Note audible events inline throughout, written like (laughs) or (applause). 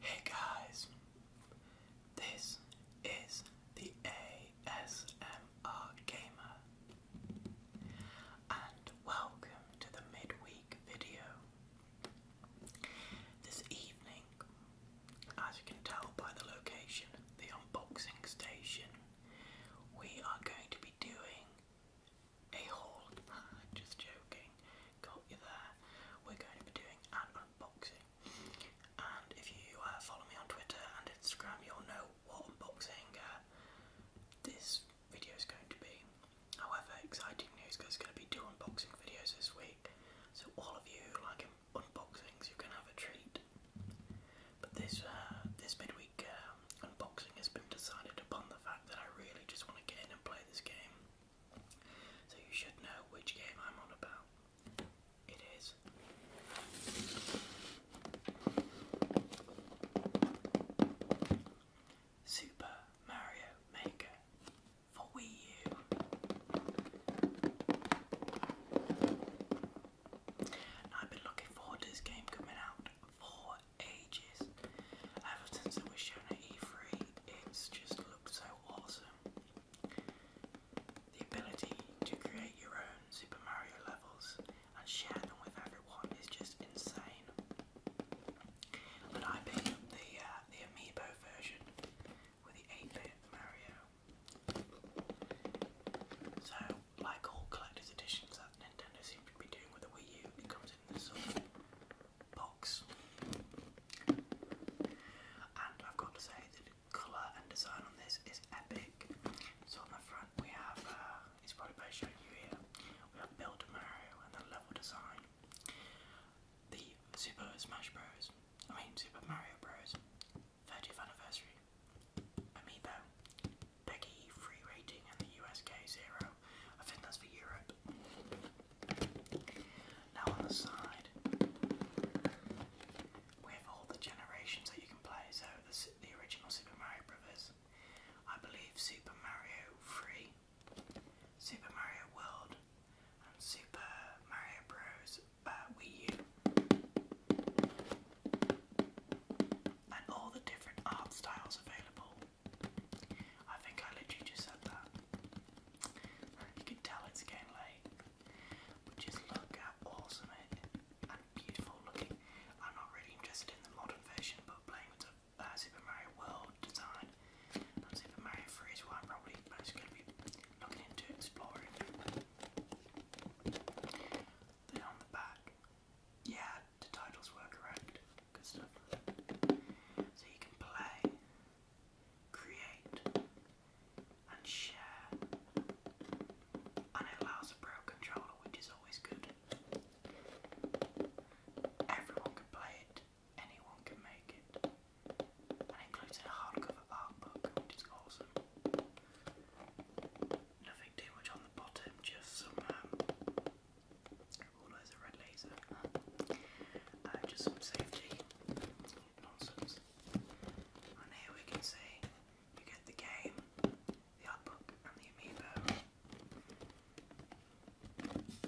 Hey guys, this is the ASMR Gamer, and welcome to the midweek video. This evening, as you can tell by the location, the unboxing station, we are going to be doing a haul. (laughs) Just joking, got you there. We're going to be doing an unboxing. And if you uh, follow me on Twitter and Instagram, you'll know what unboxing uh, this video is going to be. However, exciting news because there's going to be two unboxing videos this week. So all of you who like unboxings, you can have a treat. But this uh, this midweek um, unboxing has been decided upon the fact that I really just want to get in and play this game. So you should know which game I'm on about. It is. Super Mario Maker for Wii U. have been looking forward to this game coming out for ages. Ever since was shown at E3, it's just looked so awesome. The ability to create your own Super Mario levels and share them with everyone is just insane. And I picked the uh, the amiibo version with the 8-bit Mario. So, like all collector's editions that Nintendo seem to be doing with the Wii U, it comes in this box. And I've got to say that colour and design on this is epic. So on the front we have, uh, it's probably better showing you here, we have Build Mario and the level design the Super Smash Bros. I mean Super Mario Bros. 30th anniversary. Amiibo. Peggy free rating and the USK zero. I think that's for Europe. Now on the side, we have all the generations that you can play. So the, original Super Mario Brothers. I believe Super Mario Free. Super Mario World and Super Mario Bros. Wii U. And all the different art styles available. I think I literally just said that. You can tell it's getting late. just look how awesome it eh? and beautiful looking. I'm not really interested in the modern version, but playing with uh, Super Mario World design Super Mario 3 is what probably most going to be looking into exploring. Then on the back, yeah, the titles were correct. Good stuff. So you can play, create, and share. And it allows a pro controller, which is always good. Everyone can play it anyone can make it. And includes a hardcover art book, which is awesome. Nothing too much on the bottom, just some all um, oh, a red laser. Uh, just some safety nonsense. And here we can see you get the game, the art book, and the amiibo.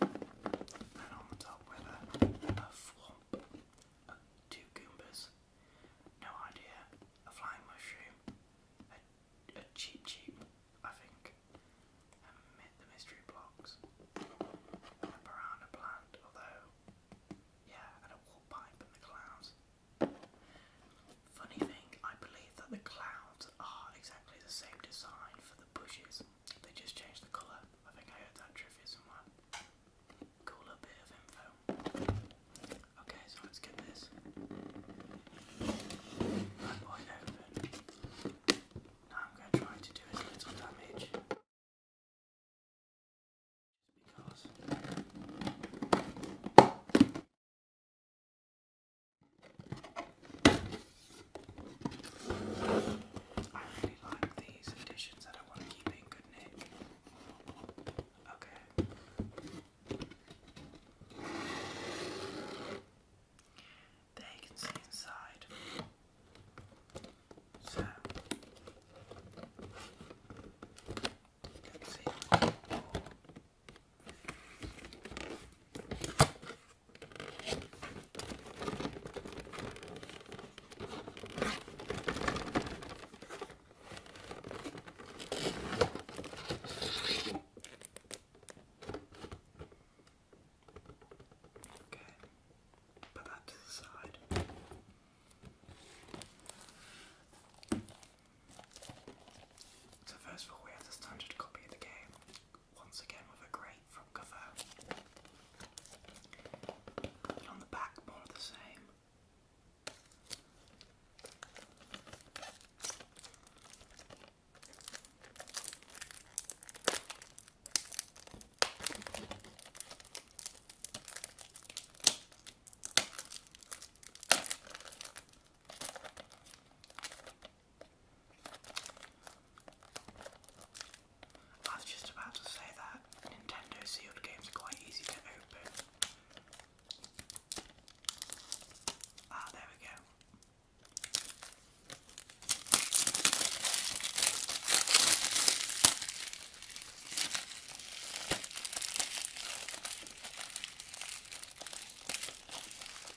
And on the top with a, a flump, two Goombas, no idea, a flying mushroom, a, a cheap I think, and the mystery blocks, a piranha plant, although, yeah, and a wall pipe and the clouds. Funny thing, I believe that the clouds are exactly the same design for the bushes they just changed the colour. I think I heard that trivia somewhere. Cooler bit of info. Okay, so let's get this. I'm going to try to do as little damage. because. I really like these additions that I want to keep in good nick. Okay. There you can see inside. So let's see. Okay, put that to the side. So first of all we have the standard copy of the game, once again with a great from Cavell. And on the back, more of the same. I was just about to say that Nintendo sealed games are quite easy to open. Ah, there we go. Okay,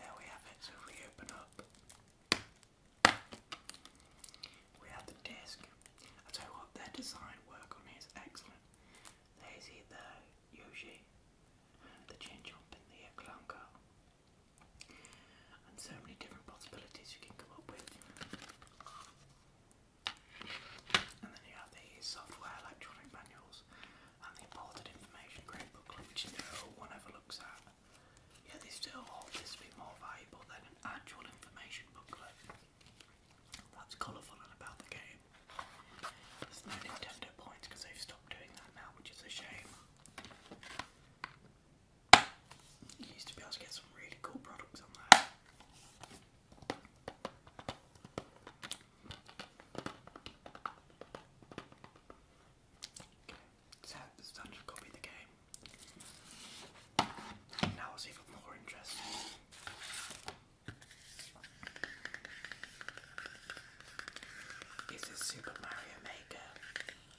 there we have it. So if we open up, we have the disc. I tell you what, their design work on here is excellent. There's either Yoshi, the Chinchomp, and the Clown Car. And so many different possibilities you can come up with. And then you have the software electronic manuals and the important information grade booklet, which no one ever looks at. Yet they still hold this to be more valuable than an actual information booklet. That's colourful and about the game. There's no Nintendo points because they've stopped doing that now, which is a shame. used to be able to get some really cool products on there. Okay, so it's time to copy the game. Now it's even more interesting. It's a Super Mario Maker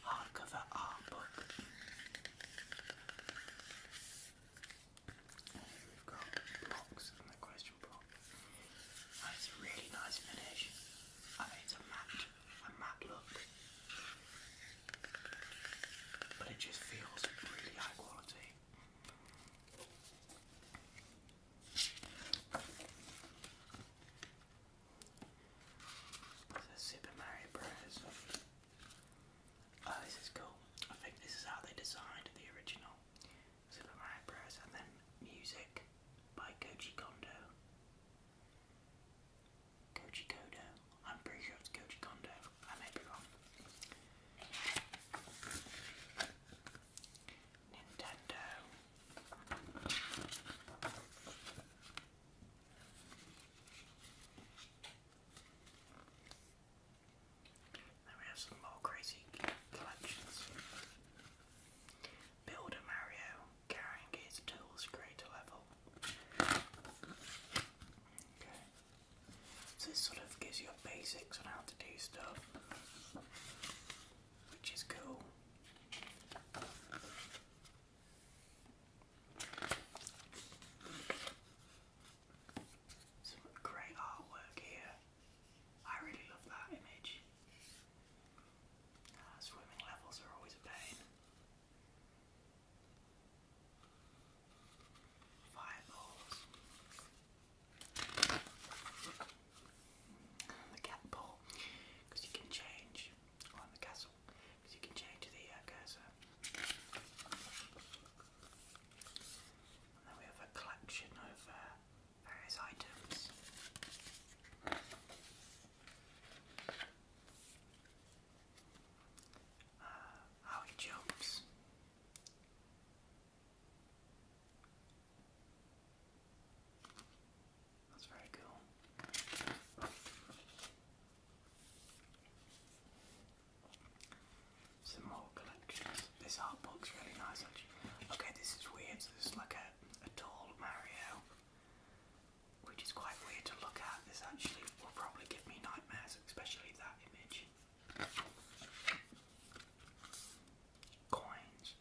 hardcover art book. we've got blocks and the question block. And it's a really nice finish. it's a matte, a matte look. But it just feels really high quality. So Super Mario Bros. Oh, this is cool. I think this is how they designed the original Super Mario Bros. And then music by Koji Kondo. Koji Kondo. I'm pretty sure it's Koji Kondo. I may Nintendo. Then we have some more crazy collections. Builder Mario carrying his tools greater level. Okay. So this sort of gives you a basics on how to do stuff, which is cool. Some great artwork here. I really love that image. Ah, swimming levels are always a pain. Fireballs. The cat because you can change on the castle, because you can change the uh, And then we have a collection of uh, various items. Uh, how that's very cool. Some more collections. This art book's really nice actually. Okay, this is weird. So this is like a, a tall Mario, which is quite weird to look at. This actually will probably give me nightmares, especially that image. Coins.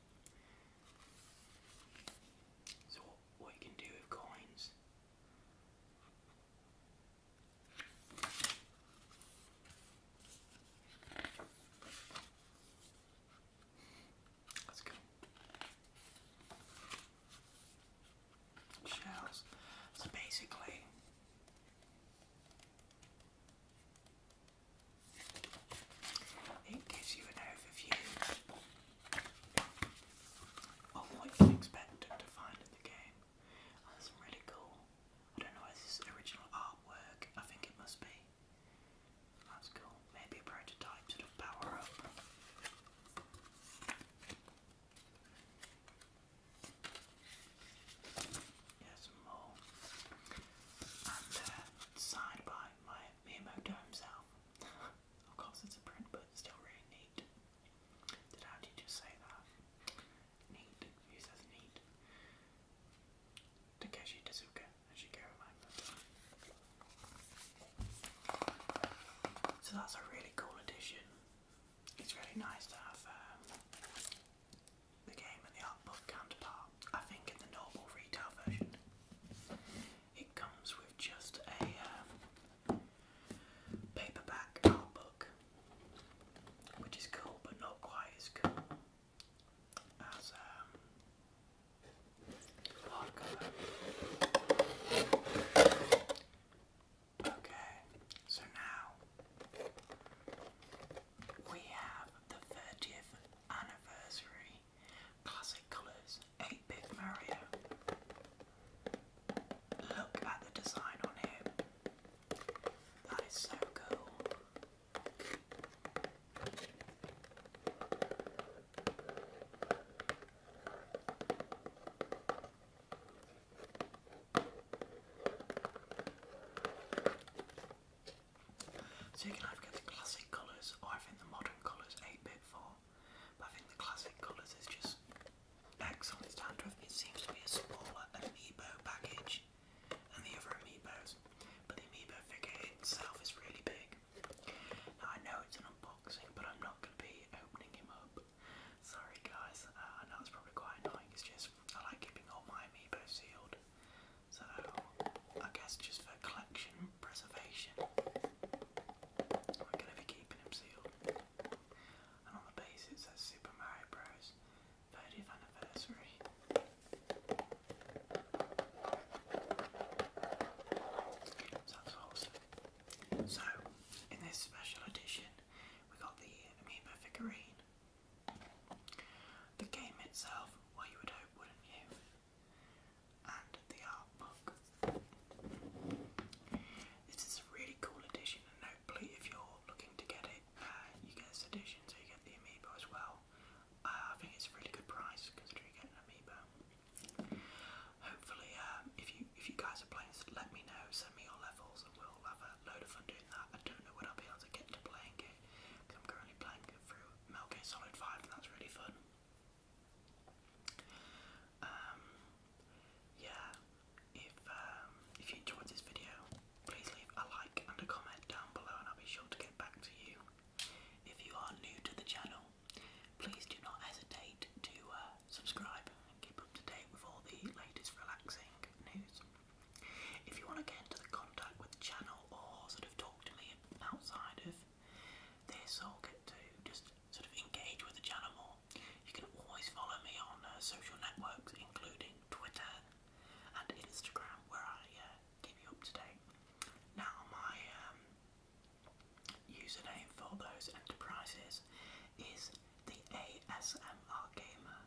So, what you can do with coins Let's go. Shells. So basically, it gives you an overview of what you expect to find in the game. Oh, really cool. I don't know, is this original artwork? I think it must be. That's cool. Maybe a prototype sort of power up. Yes, more. And uh, by my Miyamoto himself. (laughs) of course, it's a print, but still really neat. Did I just say that? Neat. Who says neat? Takeshi Tezuka, as you go remember. So that's a really cool edition it's really nice to have um, the game and the art book counterpart. I think in the normal retail version, it comes with just a um, paperback art book, which is cool, but not quite as cool as um, hardcover. Okay, so now we have the 30th anniversary classic colours 8-bit Mario. Look at the design on him. That is so cool. So you can either get the classic colours or I think the modern colours 8-bit form. But I think the classic colours is just excellent. it. seems to be a smaller amiibo package than the other amiibos. But the amiibo figure itself is really big. I know it's an unboxing, but I'm not going to be opening him up. Sorry guys, uh, I know it's probably quite annoying, it's just I like keeping all my amiibo sealed. So I guess just for collection preservation, I'm gonna be keeping them sealed. And on the base it says Super Mario Bros. 30th anniversary. So awesome. So in this special edition we got the Amiibo figurine. The game itself, what you would hope, wouldn't you? And the art book. This is a really cool edition, and hopefully, if you're looking to get it, uh, you get this edition, so you get the Amiibo as well. Uh, I think it's a really good price considering you get an Amiibo. Hopefully, um, if you if you guys are playing, let me know. Send me your levels, and we'll have a load of fun doing that. I don't know when I'll be able to get to playing it. I'm currently playing it through Metal 5 and that's really fun. Um, yeah, if, um, if you enjoyed this video, please leave a like and a comment down below and I'll be sure to get back to you. If you are new to the channel, please do not hesitate to uh, subscribe, and keep up to date with all the latest relaxing news. If you want to get into the contact with the channel or sort of talk to me outside of this or get to just sort of engage with the channel more, you can always follow me on uh, social networks, including Twitter and Instagram, where I uh, you up to date. Now, my um, username for those enterprises is the ASMR Gamer.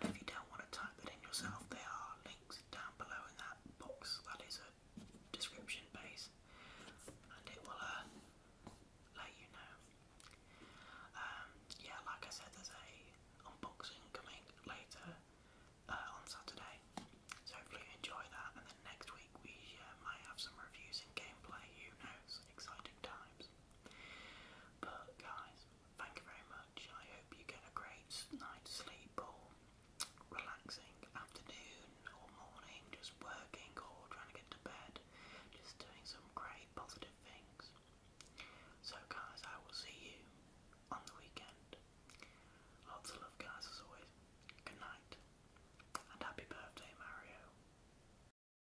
And if you don't want to type it in yourself, there are links down below in that box. That is a description base, and it will uh, let you know. Um, yeah, like I said, there's a unboxing coming later uh, on Saturday, so hopefully you enjoy that. And then next week we uh, might have some reviews and gameplay. Who knows? Exciting times. But guys, thank you very much. I hope you get a great night's sleep or relaxing afternoon or morning, just working or trying to get to bed, just doing some great positive things. So guys, I will see you on the weekend. Lots of love guys as always. Good night. And happy birthday Mario.